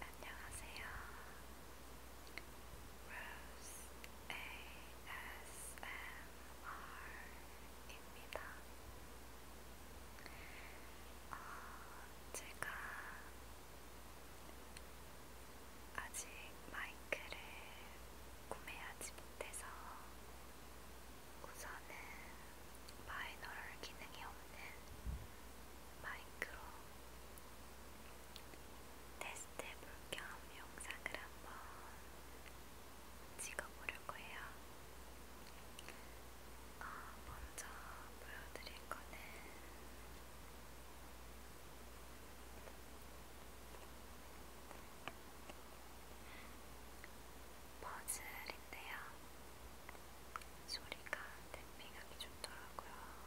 안녕하세요. Rose ASMR입니다. 어, 제가 아직 마이크를 구매하지 못해서 우선은 바이너럴 기능이 없는 마이크로 테스트 해볼겸 영상을 한번 찍어보려 거예요. 어, 아, 먼저 보여드릴 거는 퍼즐인데요. 소리가 댐핑하기 좋더라고요. 아,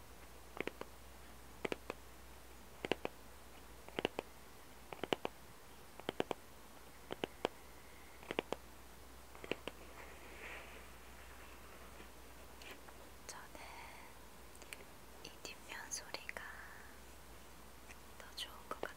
저는 이 뒷면 소리가 더 좋은 것 같아요.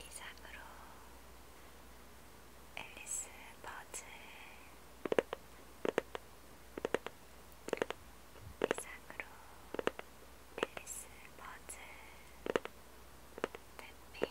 이상으로 앨리스 버즈 이상으로 앨리스 버즈 탭핑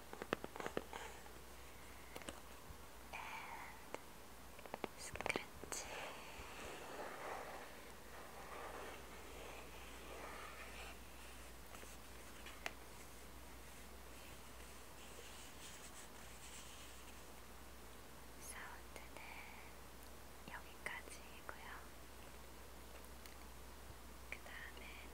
and scratch. 사운드는 여기까지이고요. 그 다음에는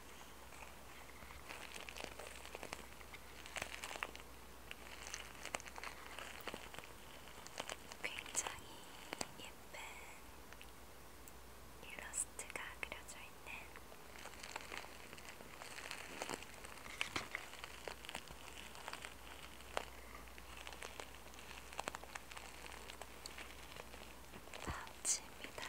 굉장히 예쁜 일러스트가 그려져 있는 파우치입니다.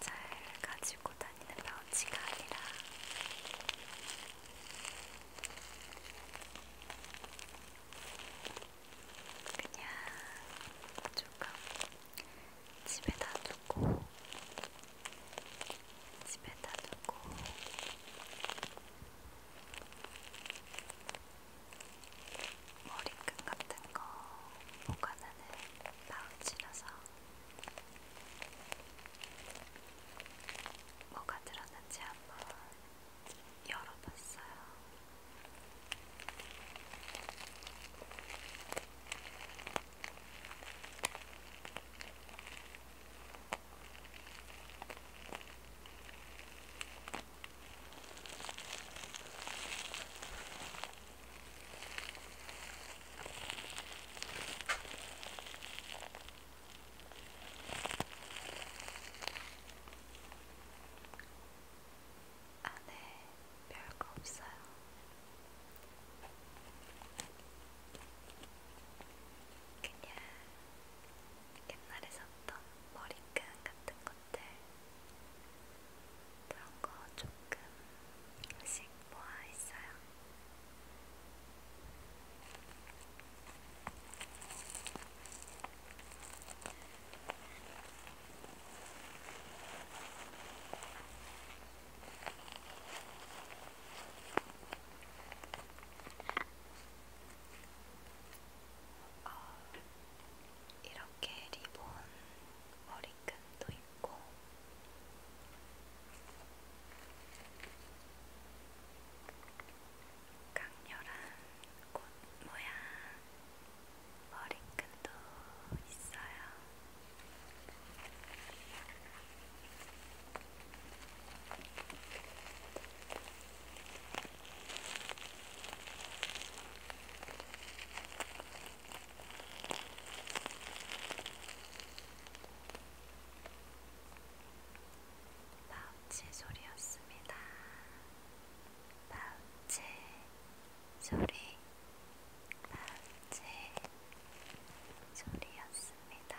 잘 가지고 다니는 파우치가 아니라 그냥 조금 집에다 두고 집에다 두고 머리끈 같은 거 보관하는 파우치라서 뭐가 들었는지 한번 열어봤어요. 안에 별거 없어요. 그냥 옛날에 샀던 머리끈 같은 것들 그런 거 조금씩 모아 있어요. 어, 이렇게 리본 머리끈도 있고, 강렬한 꽃 모양 머리끈도 있어요. 파우치 소리였습니다. 파우치 소리, 파우치 소리였습니다.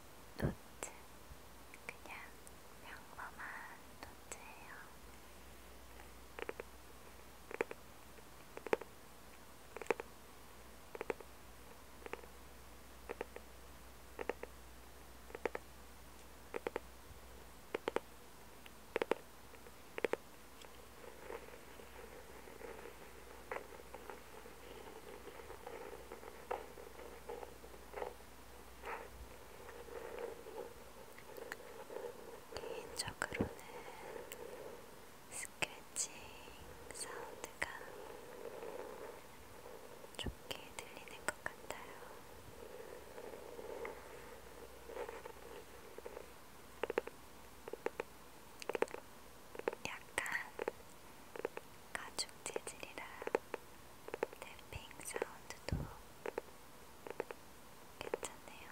노트. 그냥 평범한 노트예요. 개인적으로는 스크래칭 사운드가 좋게 들리는 것 같아요. 약간 가죽 재질이라 탭핑 사운드도 괜찮네요.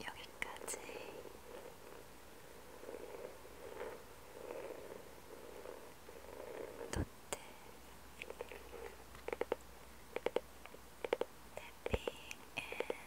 여기까지 노트 태핑 앤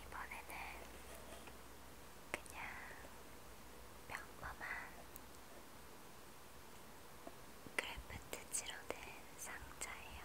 이번에는 그냥 평범한 크래프트지로 된 상자예요.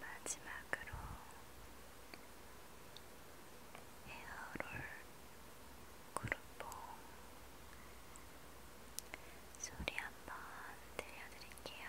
마지막으로 헤어롤 그룹봉 소리 한번 들려드릴게요.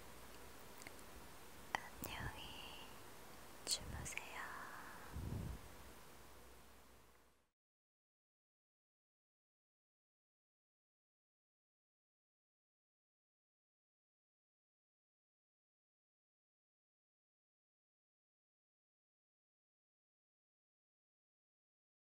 안녕히 주무세요.